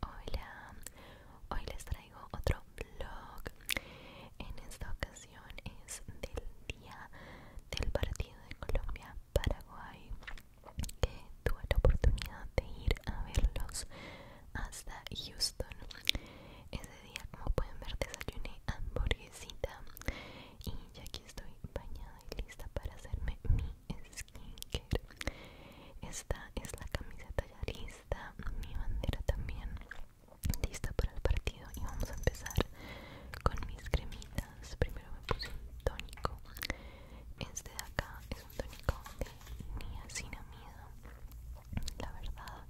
Hola, hoy les traigo otro vlog. En esta ocasión es del día del partido de Colombia-Paraguay, que tuve la oportunidad de ir a verlos hasta Houston. Ese día, como pueden ver, desayuné hamburguesita y ya aquí estoy bañada y lista para hacerme mi skin esta es la camiseta ya lista mi bandera también lista para el partido y vamos a empezar con mis cremitas primero me puse un tónico este de acá es un tónico de niacinamida la verdad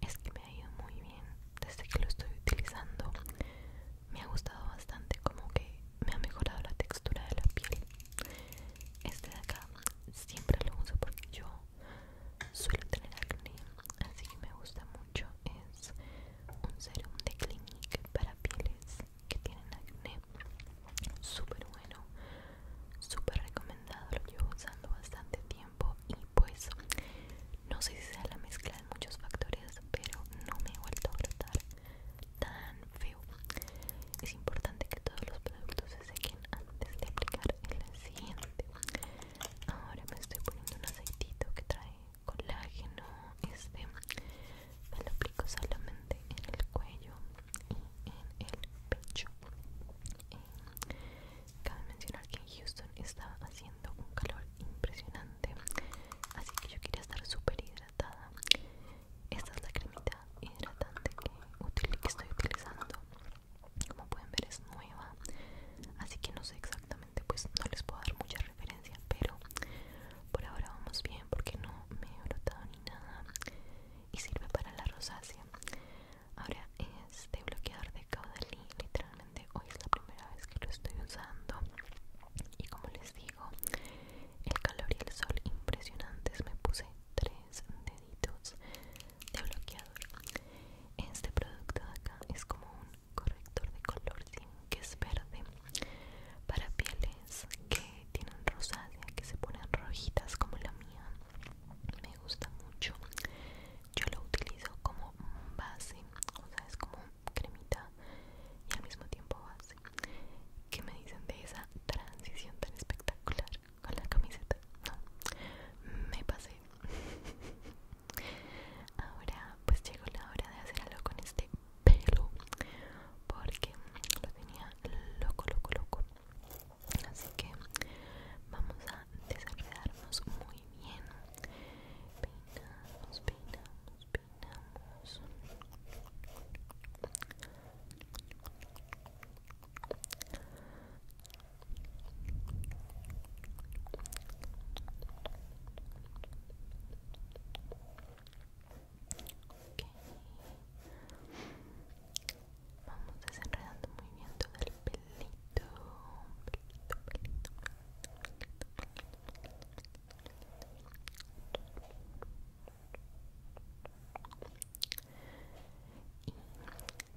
es que me ha ido muy bien desde que lo estoy utilizando me ha gustado bastante como que me ha mejorado la textura de la piel este de acá siempre lo uso porque yo suelo tener acné así que me gusta mucho es un serum de Clinique para pieles que tienen acné súper bueno súper recomendado lo llevo usando bastante tiempo y pues no sé si sea la mezcla de muchos factores pero no me he vuelto a brotar tan feo. Es importante que todos los productos se sequen antes de aplicar el siguiente. Ahora me estoy poniendo un aceitito que trae colágeno. Este me lo aplico solamente en el cuello y en el pecho. Eh, cabe mencionar que en Houston está haciendo un calor impresionante así que yo quería estar súper hidratada esta es la cremita hidratante que, estoy utilizando como pueden ver es nueva así que no sé exactamente pues no les puedo dar mucha referencia pero por ahora vamos bien porque no me he brotado ni nada y sirve para la rosácea ahora este bloqueador de caudalí literalmente hoy es la primera vez que lo estoy usando y como les digo el calor y el sol impresionantes me puse tres deditos de bloqueador este producto de acá es como un corrector de color que es verde para pieles que tienen rosácea que se ponen rojitas como la mía me gusta mucho yo lo utilizo como base o sea es como cremita y al mismo tiempo base. ¿Qué me dicen de esa transición tan espectacular con la camiseta? No, me pasé. Ahora pues llegó la hora de hacer algo con este pelo porque lo tenía loco, loco, loco. Así que vamos a desenredarnos muy bien. Peinamos, peinamos, Vamos desenredando muy bien el pelito, y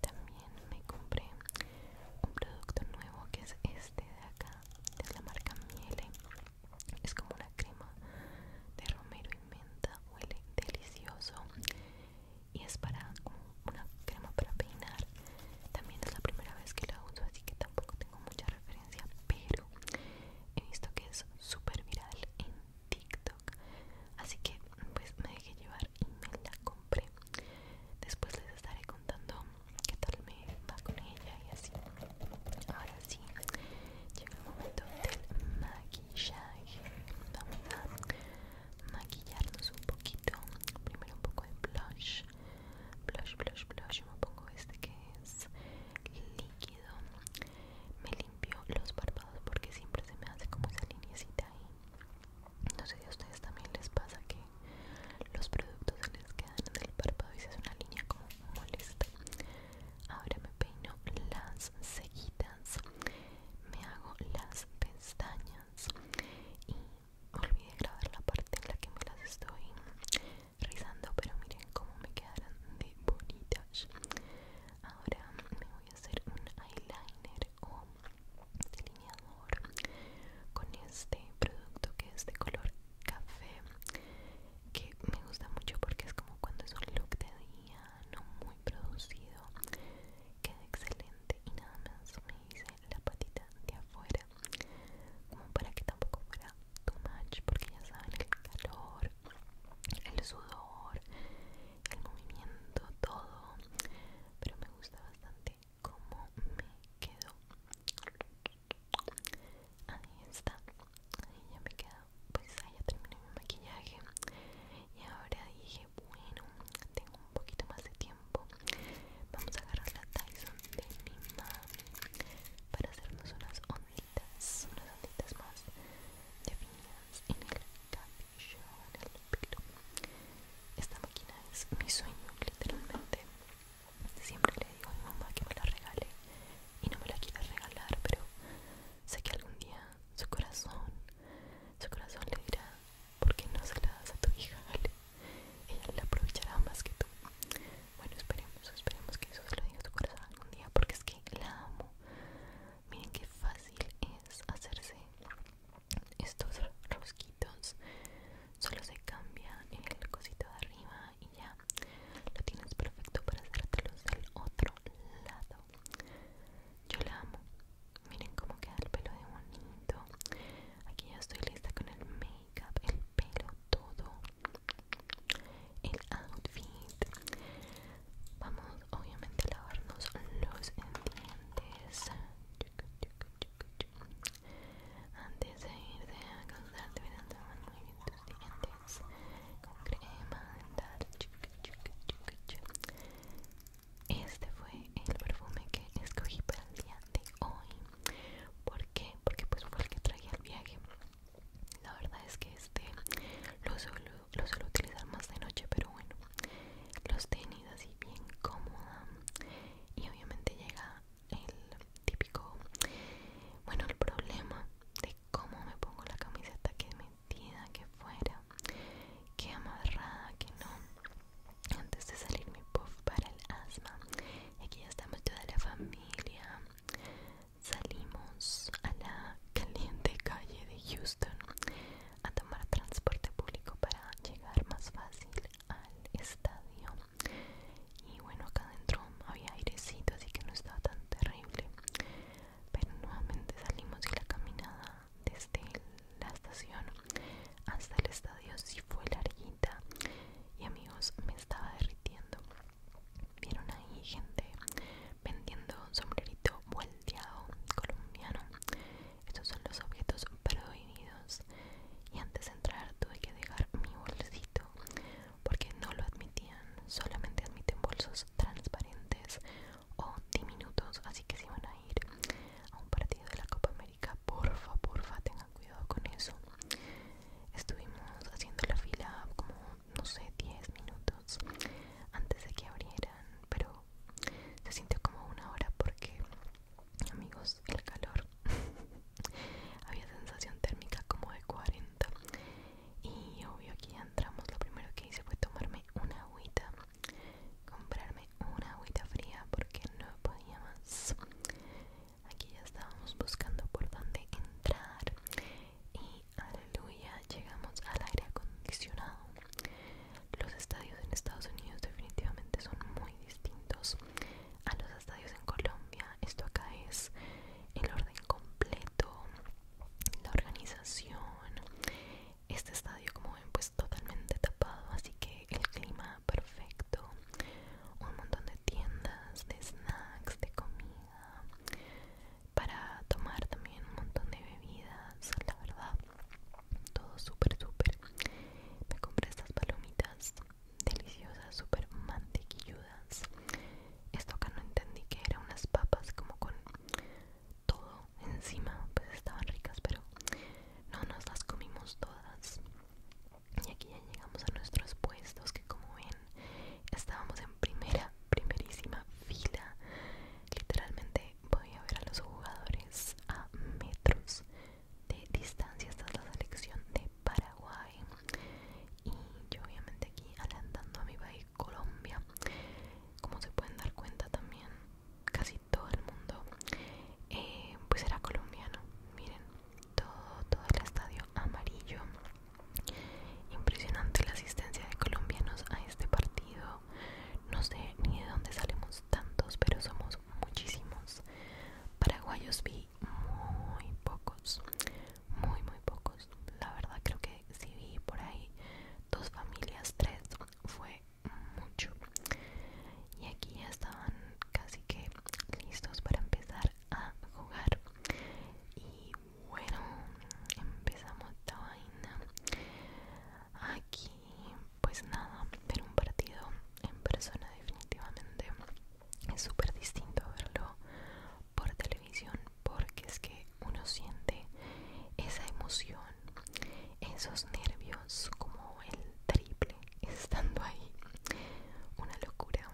también me compré un producto nuevo que es este de acá, Es la marca Miele. Es como una crema de romero y menta, huele delicioso y es para una crema para peinar. También es la primera vez que la uso, así que tampoco tengo mucha referencia, pero he visto que es súper viral en TikTok. Así que pues me dejé llevar y me la compré. Después les estaré contando qué tal me va con ella y así. Ahora sí, llega el momento del maquillaje. Vamos a maquillarnos un poquito. Primero un poco de blush blush blush blush me pongo este que es líquido me limpio los párpados porque siempre se me hace como esa linecita ahí no sé si a ustedes también les pasa que los productos se les quedan en el párpado y se hace una línea como molesta ahora me peino las cejitas me hago las pestañas y olvidé grabar la parte en la que me las estoy rizando pero miren cómo me quedaron de bonitas ahora me voy a hacer un eyeliner o delineador con este producto que es de color café que me gusta mucho porque es como cuando es un look de día no muy producido queda excelente y nada más me la patita de afuera como para que tampoco fuera too much porque ya saben el calor el sudor el movimiento todo pero me gusta bastante cómo me quedó ahí está ahí ya me queda pues ahí ya terminé mi maquillaje y ahora dije bueno, tengo un poquito más de tiempo. Vamos a agarrar la Tyson de mi mamá para hacernos unas onditas, unas onditas más definidas en el cabello, en el pelo. Esta máquina es mi sueño, literalmente. Siempre le digo a mi mamá que me la regale y no me la quiere regalar, pero sé que algún día su corazón, su corazón le dirá, porque no se la das a tu hija, Ella la aprovechará más que tú. Bueno, esperemos, esperemos que eso se lo diga tu corazón algún día, porque es que la amo. Miren qué fácil es hacerse estos rosquitos. Solo se cambia el cosito de arriba y ya lo tienes perfecto para hacértelos del otro lado. Yo la amo, Miren cómo queda el pelo de bonito. Aquí ya estoy lista con el make-up, el pelo, todo. El outfit. Vamos, obviamente, a lavarnos los dientes. Antes de irte a causar, deberán el muy bien tus dientes con crema este fue el perfume que escogí para el día de hoy. ¿Por qué? Porque pues fue el que traía al viaje. La verdad es que este lo suelo, lo suelo utilizar más de noche, pero bueno. Los tenis así bien cómoda. Y obviamente llega el típico, bueno, el problema de cómo me pongo la camiseta que me que fuera, que amarrada que no. Antes de salir mi puff para el asma, aquí ya estamos toda la familia. Salimos a la caliente calle de Houston a tomar transporte público para llegar más fácil al estadio. Y bueno, acá adentro había airecito, así que no estaba tan terrible. Pero nuevamente salimos y la caminada desde la estación hasta el estadio Si fue larguita y amigos me estaba derritiendo vieron ahí gente vendiendo un sombrerito volteado colombiano estos son los objetos prohibidos y antes de entrar tuve que dejar mi bolsito porque no lo admitían solamente admiten bolsos transparentes o minutos así que si van a ir a un partido de la Copa América, porfa, porfa, tengan cuidado con eso. Estuvimos haciendo la fila como, no sé, 10 minutos antes de que abrieran, pero se sintió como una hora porque, amigos, el calor había sensación térmica como de 40 y obvio aquí ya entramos lo primero que hice fue tomarme una agüita comprarme una agüita fría porque no podía más aquí ya estábamos buscando por dónde entrar y aleluya llegamos al aire acondicionado los estadios en Estados Unidos definitivamente son muy distintos a los estadios en Colombia esto acá es el orden completo la organización. Este estadio, como ven, pues totalmente tapado, así que el clima perfecto. Un montón de tiendas, de snacks, de comida. Para tomar también un montón de bebidas, la verdad. Todo súper, súper. Me compré estas palomitas deliciosas, súper mantequilludas esto acá no entendí que eran unas papas como con todo encima pues estaban ricas pero no nos las comimos todas y aquí ya llegamos a nuestros puestos que como ven estábamos en primera primerísima fila literalmente voy a ver a los jugadores a metros de distancia esta es la selección de Paraguay y yo obviamente aquí alentando a mi país Colombia como se pueden dar cuenta también casi todo el mundo eh, pues era colombiano miren todo todo el estadio amarillo impresionante la asistencia de colombianos a este partido no sé ni de dónde salimos tantos pero somos muchísimos paraguayos vi muy pocos muy muy pocos la verdad creo que si vi por ahí dos familias tres fue mucho y aquí ya estaban casi que listos para empezar a jugar y bueno empezamos esta vaina aquí pues nada ver un partido en persona definitivamente es súper distinto verlo por televisión porque es que uno siente esa emoción, esos nervios como el triple estando ahí. Una locura.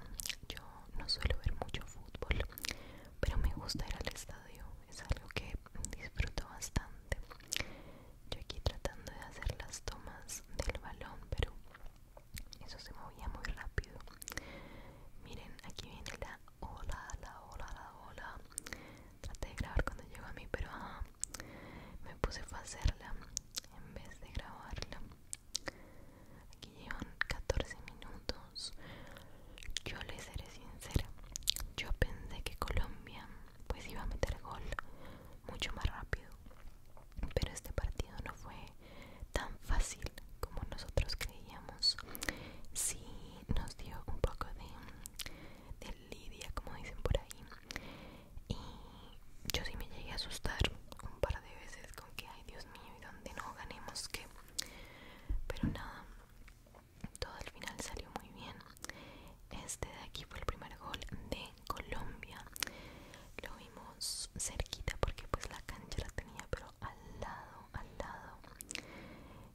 Yo no suelo ver mucho fútbol, pero me gusta ir al estadio. Es algo que disfruto bastante. Yo aquí tratando de hacer las tomas del balón, pero eso se movía muy rápido miren aquí viene la ola la ola la ola traté de grabar cuando llegó a mí pero me puse a hacerla en vez de grabarla aquí llevan 14 minutos yo les seré sincera yo pensé que Colombia pues iba a meter gol mucho más rápido pero este partido no fue tan fácil como nosotros creíamos sí nos dio un poco de, lidia como dicen por ahí y yo sí me llegué a asustar un par de veces con que ay Dios mío y donde no ganemos qué pero nada todo al final salió muy bien este de aquí fue el primer gol de Colombia cerquita porque pues la cancha la tenía pero al lado, al lado.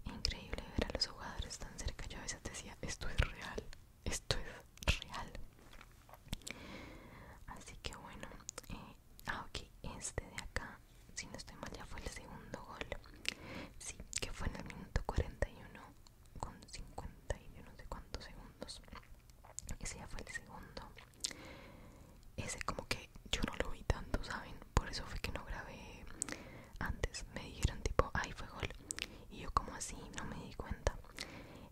Increíble ver a los jugadores tan cerca. Yo a veces decía, esto es real, esto es real. Así que bueno, eh, ah ok, este de acá, si no estoy mal ya fue el segundo gol. Sí, que fue en el minuto 41 con 50 y no sé cuántos segundos. Ese ya fue el segundo ese como que yo no lo vi tanto, ¿saben? Por eso fue que no grabé antes. Me dijeron tipo, ay, fue gol. Y yo como así, no me di cuenta.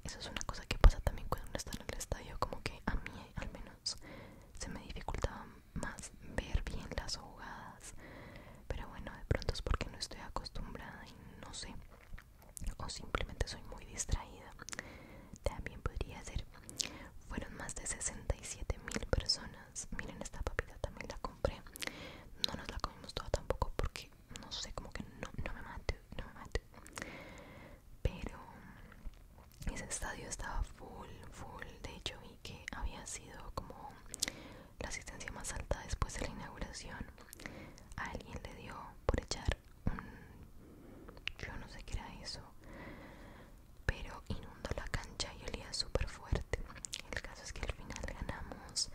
Eso es una cosa que pasa también cuando uno está en el estadio, como que a mí al menos se me dificultaba más ver bien las jugadas. Pero bueno, de pronto es porque no estoy acostumbrada y no sé o simplemente soy muy distraída. También podría ser. Fueron más de 67 mil personas. Miren, esta papita también la compré. No nos la comimos toda tampoco porque no sé, como que no, me mate no me Pero ese estadio estaba full, full. De hecho, vi que había sido como la asistencia más alta después de la inauguración. Alguien le dio por echar Mm, yo no sé qué era eso pero inundó la cancha y olía súper fuerte el caso es que al final ganamos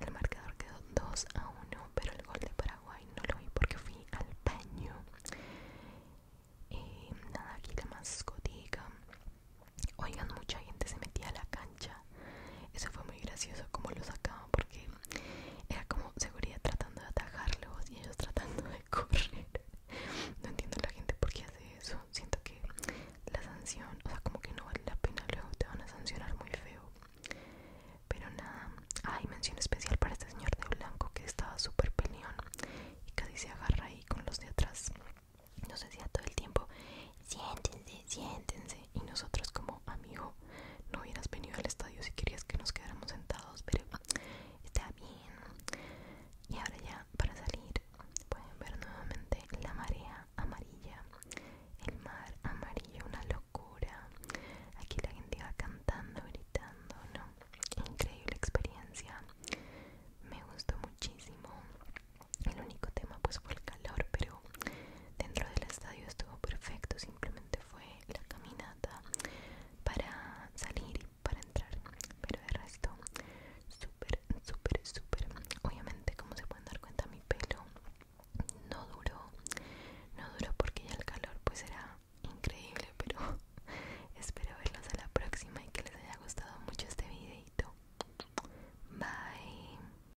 el marcador quedó 2 a 1 pero el gol de Paraguay no lo vi porque fui al baño eh, nada aquí la escotica. oigan mucha gente se metía a la cancha eso fue muy gracioso como lo sacaba porque era como seguridad tratando de atajarlos y ellos tratando de correr. No entiendo la gente por qué hace eso. Siento que la sanción, o sea, como que no vale la pena, luego te van a sancionar muy feo. Pero nada, hay mención especial para este señor de blanco que estaba súper peleón y casi se agarra ahí con los de atrás. No sé si todo el tiempo, siéntense, siéntense. Y nosotros como, amigo, no hubieras venido al estadio si querías que nos quedáramos sentados, pero está bien. Y ahora ya, para salir, pueden ver nuevamente la marea amarilla, el mar amarillo, una locura. Aquí la gente va cantando, gritando, ¿no? Increíble experiencia. Me gustó muchísimo. El único tema pues fue el calor, pero dentro del estadio estuvo perfecto, simplemente fue la caminata para salir y para entrar, pero de resto súper, súper, súper. Obviamente como se pueden dar cuenta mi pelo no duró, no duró porque ya el calor pues era increíble, pero espero verlos a la próxima y que les haya gustado mucho este videito. Bye.